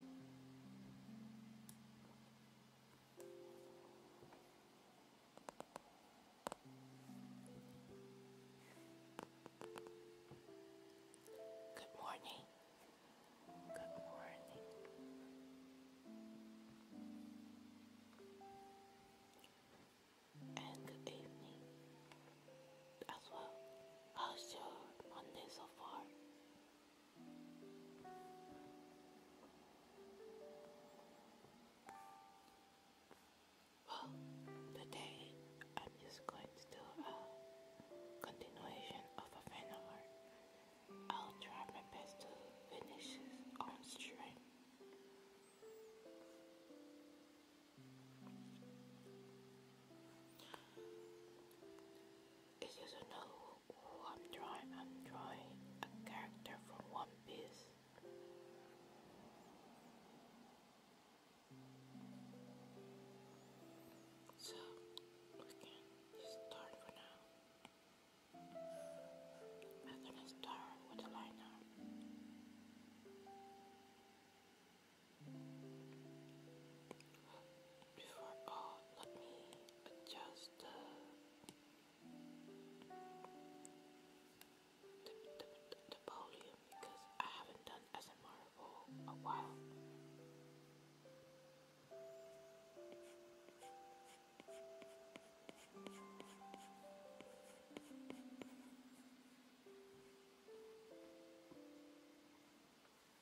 Good morning. Good morning. And good evening as well. How's your Monday so far? today I'm just going to do a continuation of a fan art. I'll try my best to finish on stream. It is just novel I'm drawing I'm drawing a character from One Piece. So we can start for now. I'm gonna start with a liner before all, let me adjust the the, the, the, the volume because I haven't done ASMR for a while.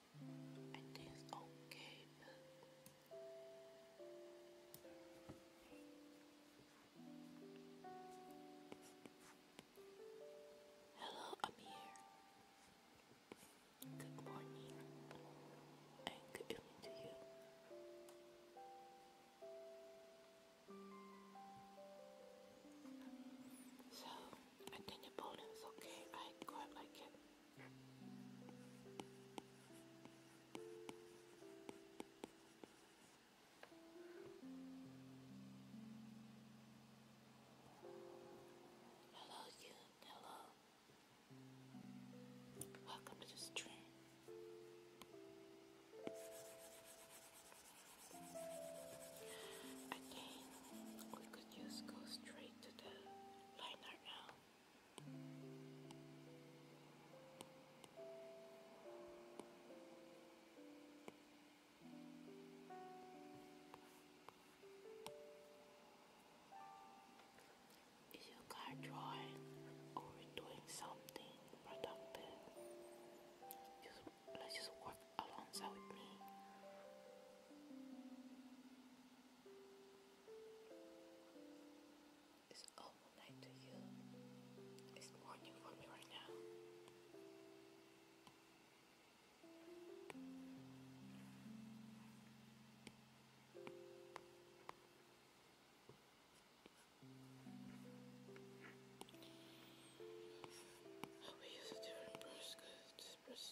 I Hello, I'm here. Good morning and good evening to you. So I think the bowling is okay. I quite like it. Hello, Hello. Welcome to the stream. I think we could just go straight to the liner now. Is your car drawing or doing something productive? Just, let's just work alongside It's night to you. It's morning for me right now. We use a different brush because this brush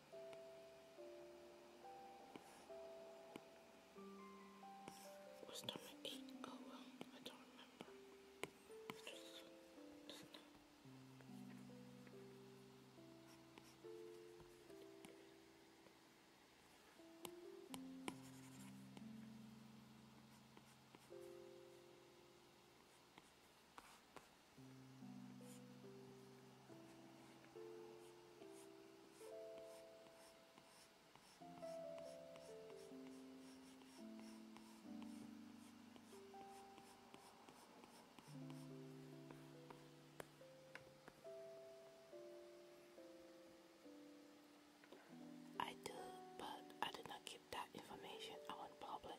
Was number Oh well, I don't remember. I do, but I did not keep that information out in public.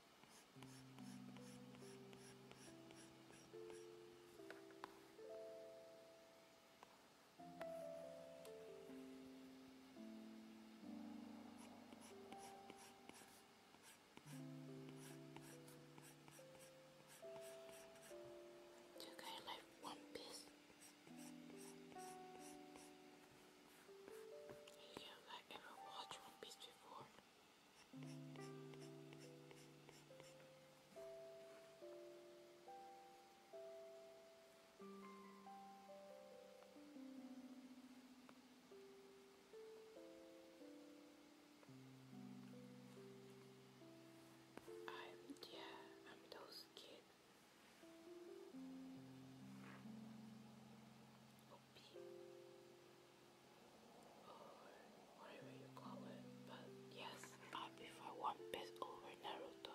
Okay, like one piece video I ever watched One Piece before. I'm yeah, I'm those kids beep, you yes, I prefer One Piece over Naruto.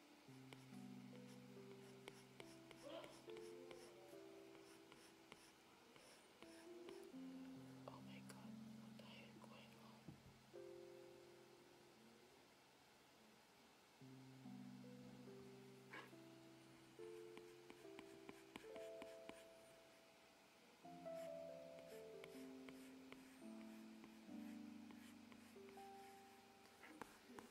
Oh my god, what the hell is going on?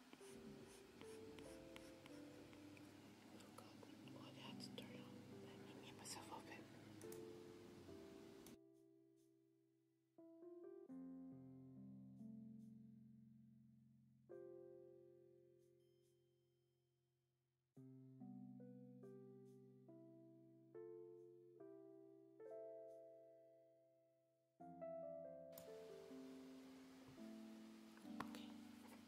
Oh god, oh I turn on. Let me get myself open. Okay.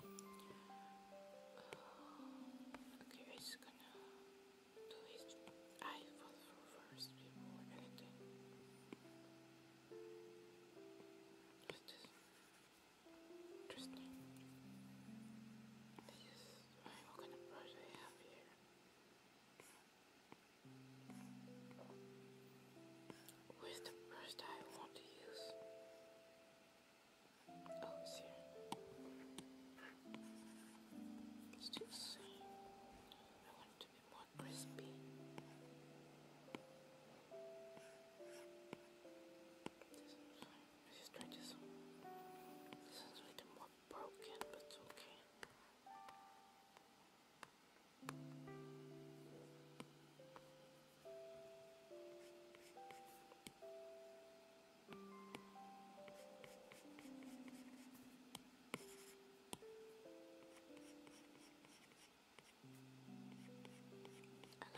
Uh, okay, I'm just gonna do his eyeball first before anything. What's Interesting. This what kind of brush I have here. Where's the brush I want to use? Oh, it's here. It's too soon. I want it to be more crispy. This is fine. Let's just a little more broken, but it's okay. I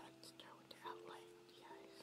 like to start with the outline of the eyes.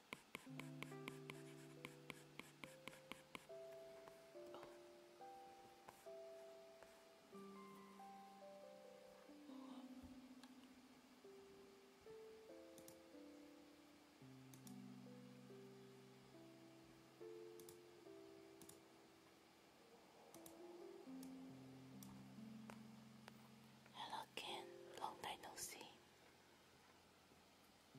Hello, Ken. Long time no see. Jeez.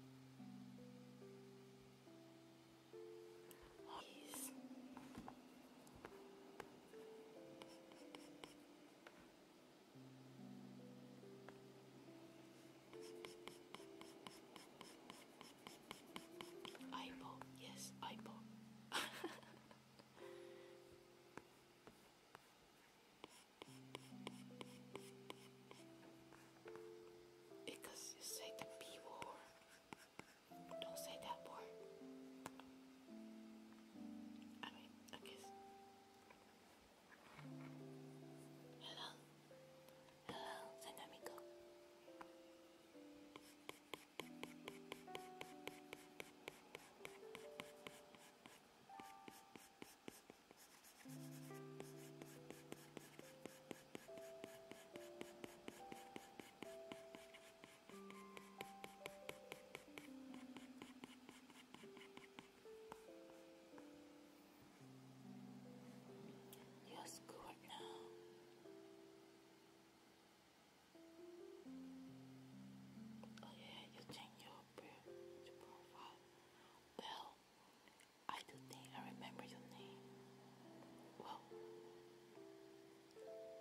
yes, eyeball. Because you say the B word. Don't say that word. I mean, I Hello? Hello, Dynamico. Just good now. Oh yeah, you change your profile. Well, I do think I remember your name. Well,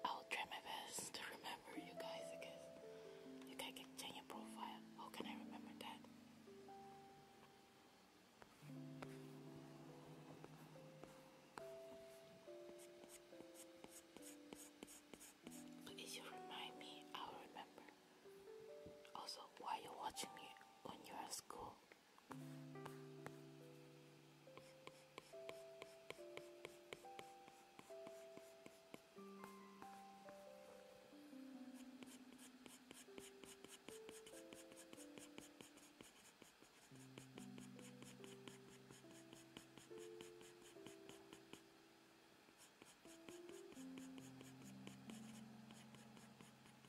I'll try my best to remember you guys, I guess. You guys can change your profile. How can I remember that? Please you remind me, I'll remember. Also, why are you watching me when you're at school?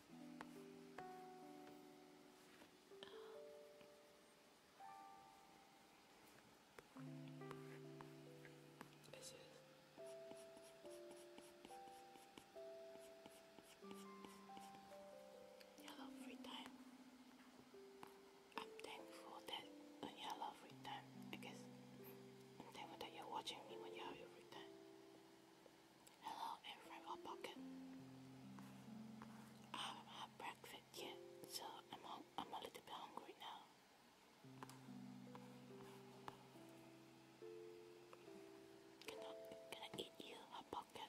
Um, this Free Time. I'm thankful that uh, you love free time. I guess I'm thankful that you're watching me when you have free time. Hello and Rainbow Pocket. I haven't had breakfast yet, so I'm, I'm a little bit hungry now. Can I, can I eat you, Hot Pocket?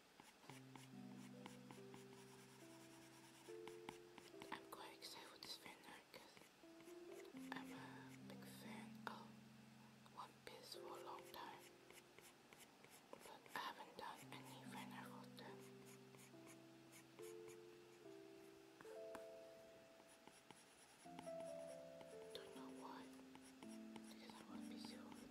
I'm quite excited with this vendor because I'm a big fan of One Piece for a long time. But I haven't done any vendor for them. Don't know why, because I was busy all the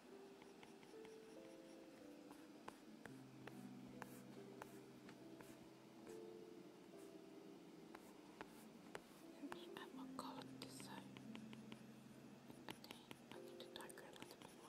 I'm gonna call it this side. I need to darker a bit more.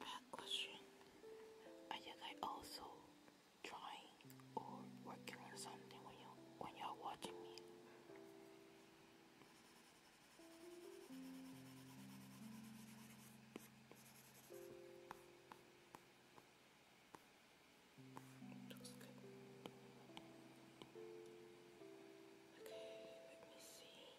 a question. Are you guys also trying or working on something when you when you're watching me? Looks good. Okay, let me see.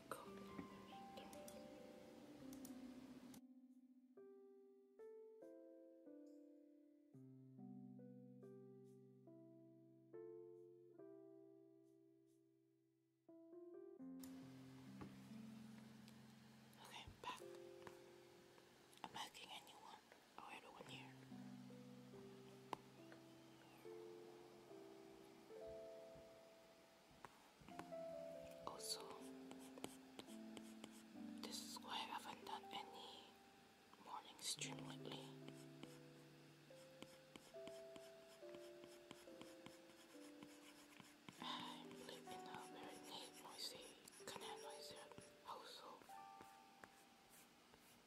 Okay, back. I'm making a new one. here. Also, this is why I haven't done any morning stream lately. I live in a very neat, noisy, kind of noisy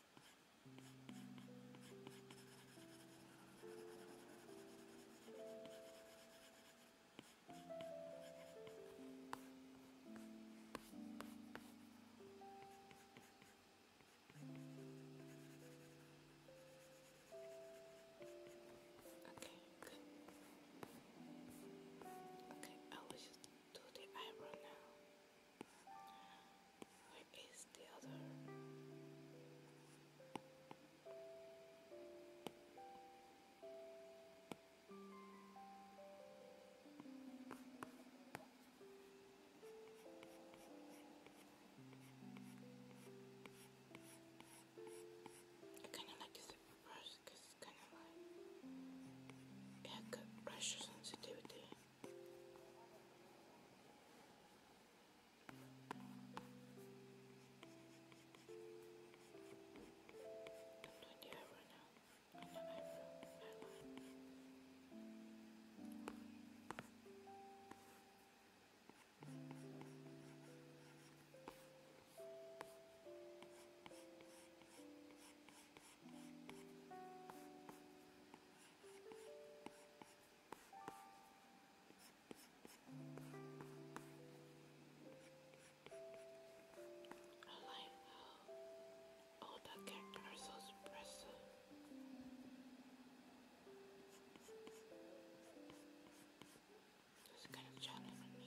Okay, good. Okay, I will just do the eyebrow now. Where is the other? I kind of like this brush because it's kind of like it had pressure sensitivity the eyebrow now. And the eyebrow, eyeliner. Now I like how oh, all the characters are so expressive. It's kind of challenging me.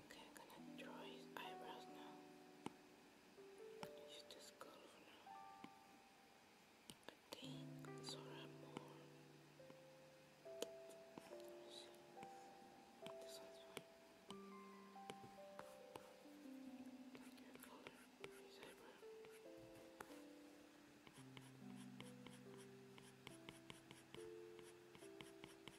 Okay, I'm gonna draw his eyebrows now. Use color now. I think Zora more. This one's fine. color, his eyebrow.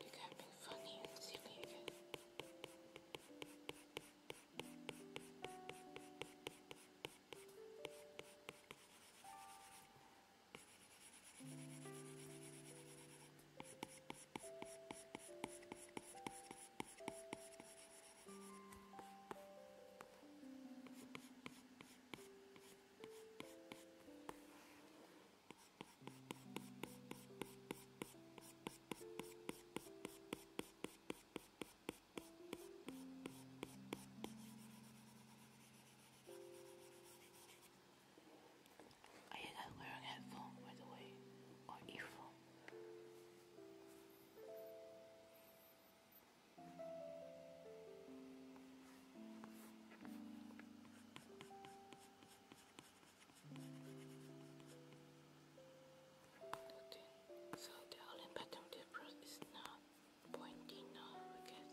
You got me funny and silly again. Are you wearing headphones, by the way, or earphone? So the only pattern difference is now pointing I guess.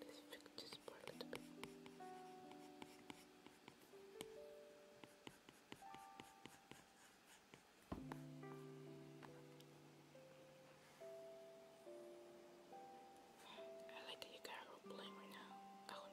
Let's fix this part a little bit. I like that you got a role playing right now. Out of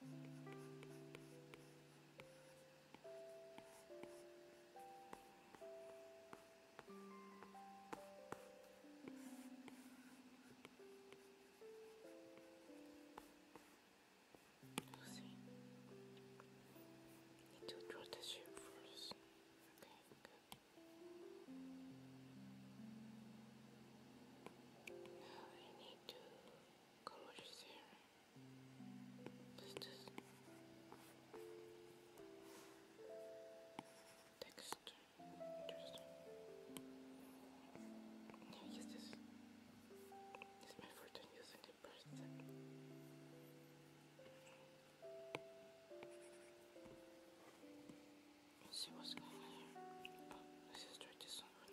We'll Need to draw the shape first. Okay, Now I need to colors here. Just this texture. Yeah, use this. This is my first using the brush see what's going on here. let's oh, try this one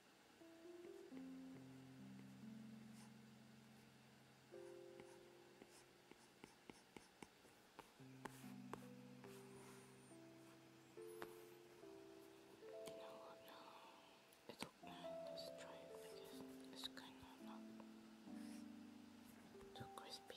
No, no, it's okay. Let's try it because it's kind of not too crispy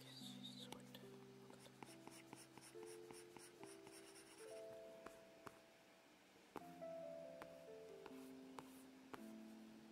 This is what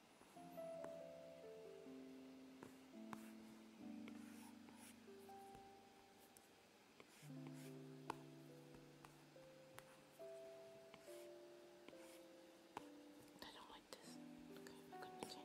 I don't like this. Okay, I'm gonna continue.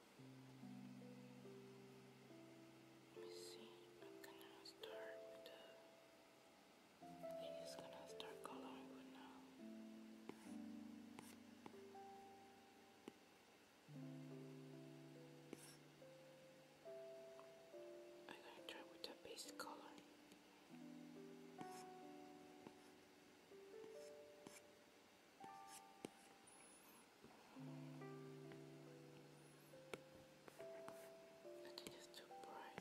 Let me see. I'm gonna start with the. i gonna start coloring for now. I'm gonna try with the base color. I think it's too bright.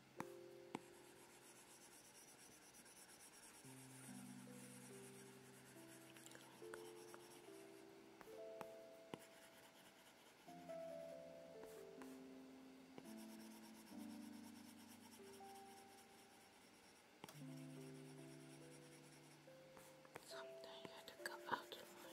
Sometimes you had to come out of my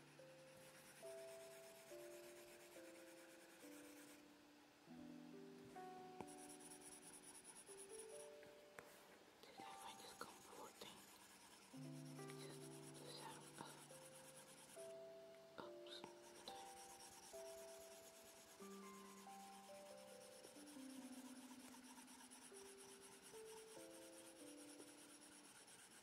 I find this comforting. Just the sound of oops.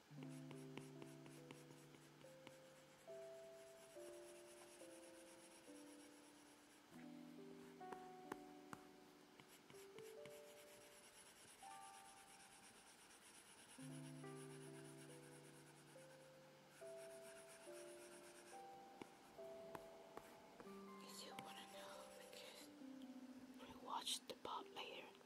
If you wanna know because we watched the part later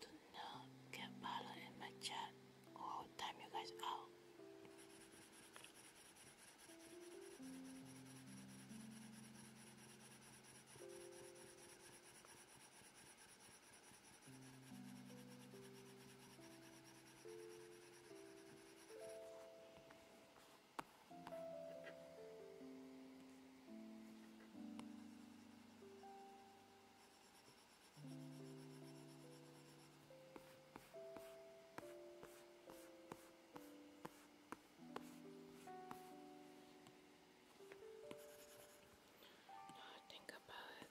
Do not get bothered in my chat oh, all time you guys out. Now think about it.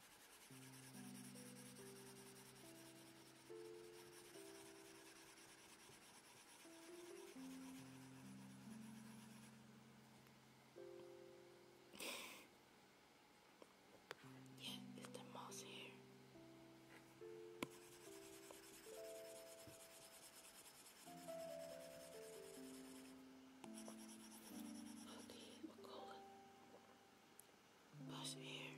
Yeah, it's the mouse here. Okay, we'll call it. Push air.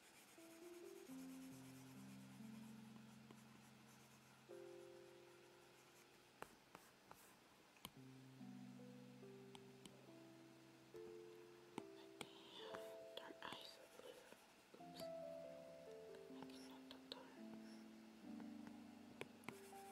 dark eyes blue. Oops. I cannot talk to her. I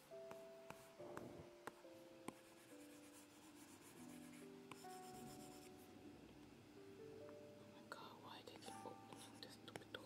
Oh my god, why they keep opening this stupid door?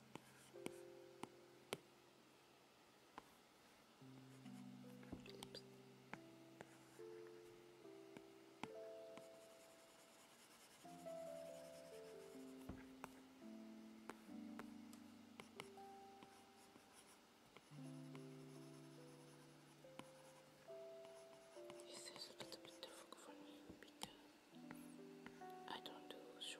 Oops. Is a little difficult for me I don't do Sure.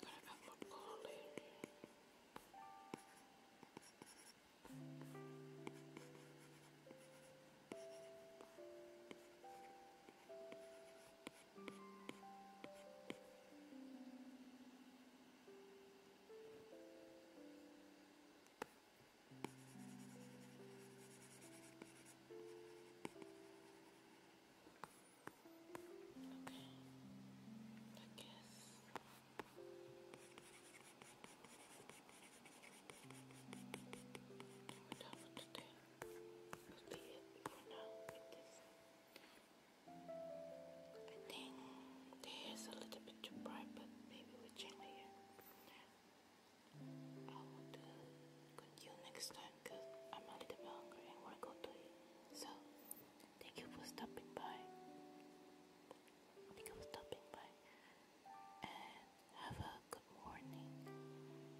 Gotta have more cold air. Okay, I guess we're done for today. This it for now I think the a little bit too bright, but maybe we change the I would uh, continue next time because I'm a little hungry and want to go to eat. So, thank you for stopping by. Thank you for stopping by. And have a good morning,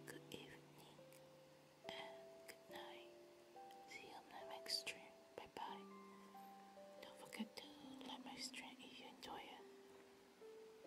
good evening, and good night. See you on my next stream. Bye bye. Don't forget to like my stream if you enjoy it.